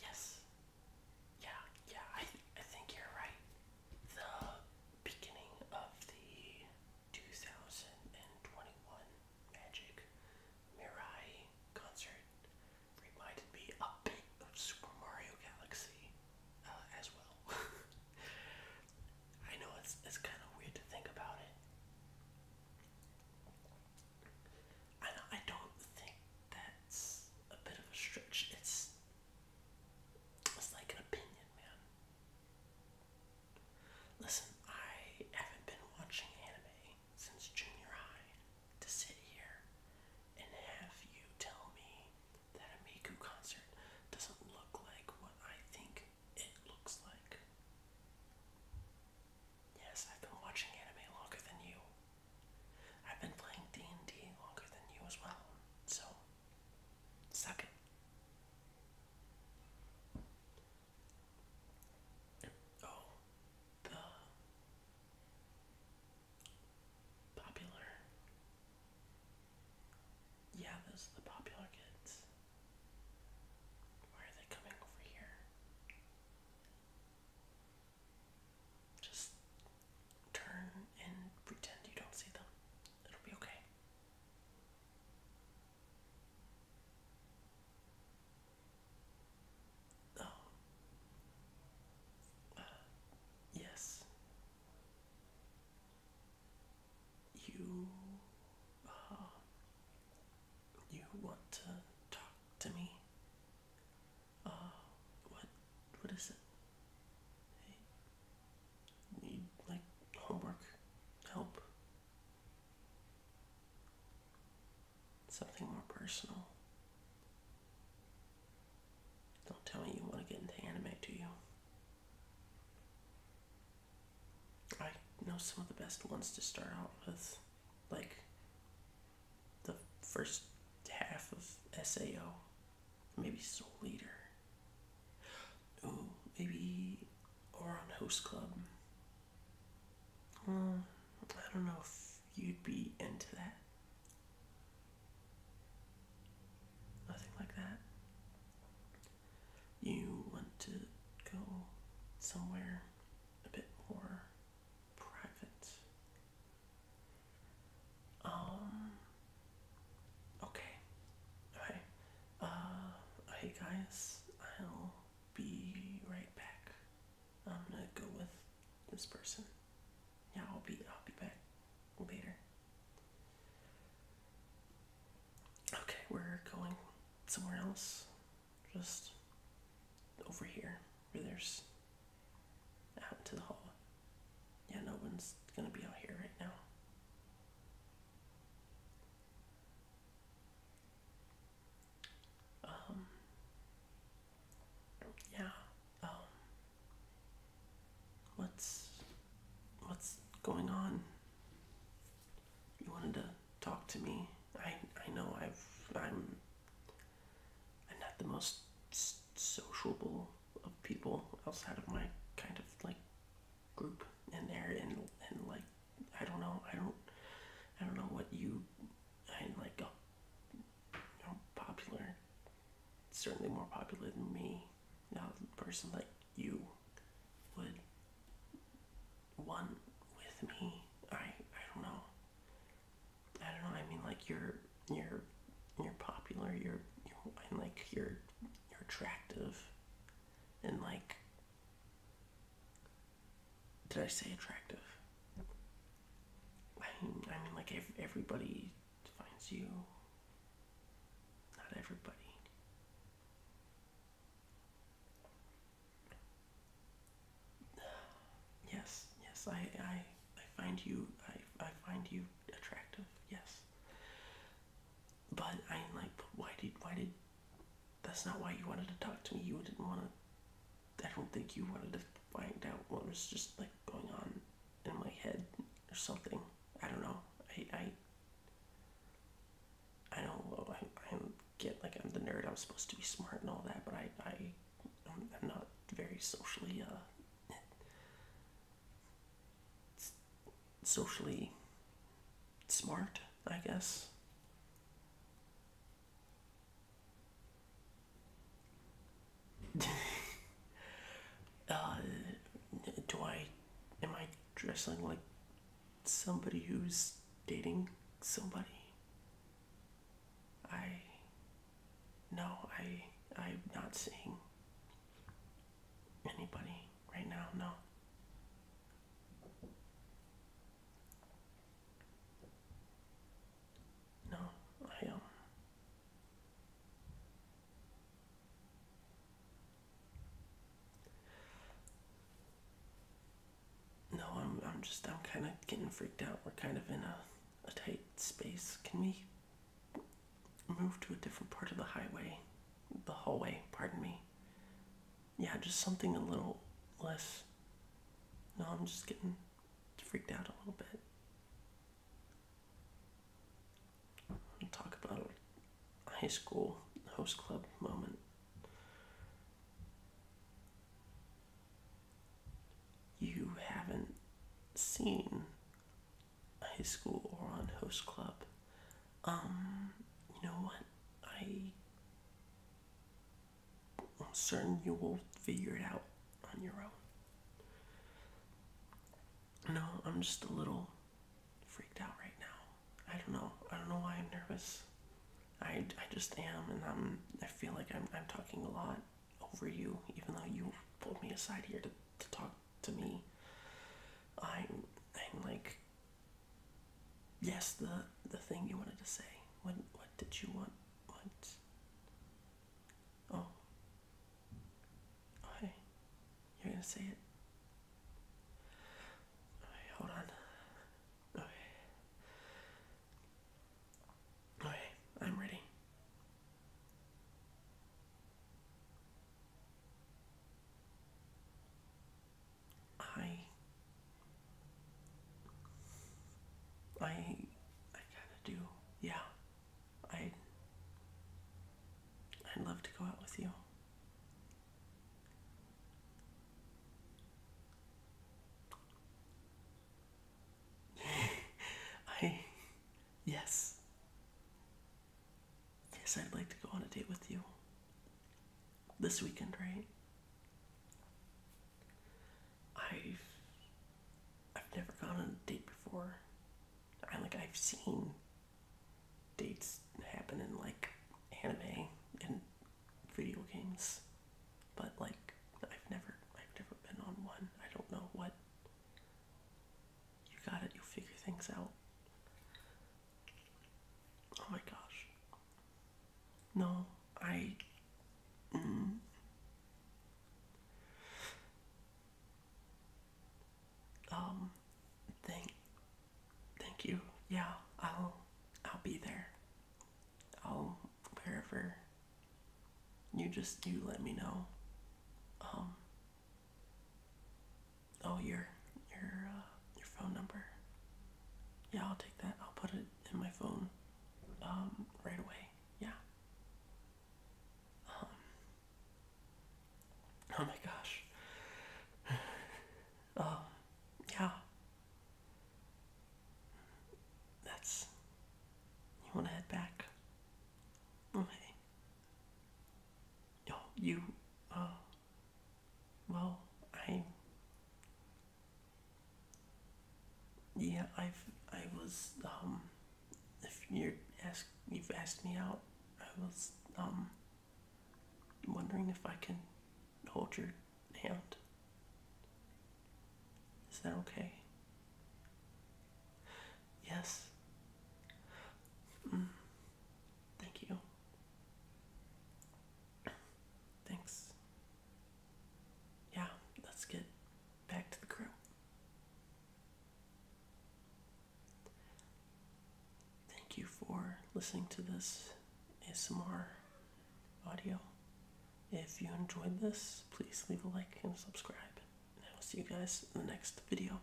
Yes. Yeah, yeah, I, I think you're right. The beginning of the 2021 Magic Mirai concert reminded me a bit of Super Mario Galaxy uh, as well. I know it's, it's kind of weird to think about it. And I don't think that's a bit of a stretch. It's it's like an opinion, man. Listen, I haven't been watching anime since junior high to sit here and have you tell me that a Miku concert doesn't look like what I think it looks like. Yes, I've been watching anime longer than you. I've been playing D&D longer than you as well. So, suck Oh, the popular. Yeah, those are the popular kids. Why are they coming over here? Just turn and pretend you don't see them. It'll be okay. Oh. Uh, yes. You. Uh, you want to talk to me? Uh, what, what is it? need, like, homework, help? Something more personal. Don't tell me you want to get into anime, do you? I know some of the best ones to start out with, like the first half of SAO, maybe Soul Leader. Ooh, maybe Oron Host Club. Um, I don't know if you'd be into that. Nothing like that you want to go somewhere a bit more private. Um, okay. Alright. Uh, hey guys, I'll be right back. I'm gonna go with this person. Yeah, I'll be I'll be back later. Okay, we're going somewhere else. Just over here where there's out into the hall. Yeah, no one's gonna be out here right now. Um, yeah, um, what's going on? You wanted to talk to me. I I know I've I'm I'm not the most sociable of people outside of my kind of like group and there and and like I don't know I don't I don't know what you I like a, uh, popular certainly more popular than me now, a person like you would want with me. I I don't know. I don't know. I mean, like you're you're you're popular. You're you're like you're you're attractive, and like did I say attractive? I mean, I mean like everybody finds you not everybody. Yes, yes, I, I, I find you, I, I find you attractive. Yes, but I am like, why did, why did? That's not why you wanted to talk to me. You didn't want to. I don't think you wanted to find out what was just like going on in my head or something. I don't know. I I, I don't I, I get like I'm the nerd. I'm supposed to be smart and all that, but I I am I'm not very socially uh socially smart, I guess. Uh, do I am I dressing like somebody who's dating somebody? I no, I I'm not seeing anybody right now, no. No, I um. No, I'm I'm just I'm kind of getting freaked out. We're kind of in a a tight space. Can we move to a different part of the highway? The hallway, pardon me. Yeah, just something a little less. No, I'm just getting freaked out a little bit. talk about a high school host club moment. You haven't seen high school or on host club. Um, you know what? I I'm certain you will figure it out on your own. No, I'm just a little freaked out right now. I don't know. I don't know why I'm nervous. I, I just am, and I'm, I feel like I'm, I'm talking a lot over you, even though you pulled me aside here to, to talk to me. I'm, I'm like, yes, the, the thing you wanted to say. What, what did you want what? Oh. Okay. You're gonna say it. Okay, hold on. Okay. Okay, I'm ready. I I I gotta do. Yeah. I I'd love to go out with you. I yes. Yes, I'd like to go on a date with you. This weekend, right? I've I've never gone on a date before. I like I've seen dates happen in like anime and video games, but like I've never I've never been on one. I don't know what you got it. you figure things out. Oh my gosh. No, I. Mm. Um, thank, thank you. Yeah, I'll, I'll be there. I'll wherever. You just you let me know. Um. Oh, you're you're. Uh, your phone number? Yeah, I'll take that. I'll put it in my phone um, right away. Yeah. Um, oh my gosh. um, yeah. That's. You want to head back? Okay. Oh, you. Uh, well, I yeah, I've I was um, if you're ask you've asked me out, I was um, wondering if I can hold your hand. Is that okay? Yes. Mm. Thank you. Thanks. Yeah, let's get back to the crew. Thank you for listening to this ASMR audio. If you enjoyed this, please leave a like and subscribe. I will see you guys in the next video.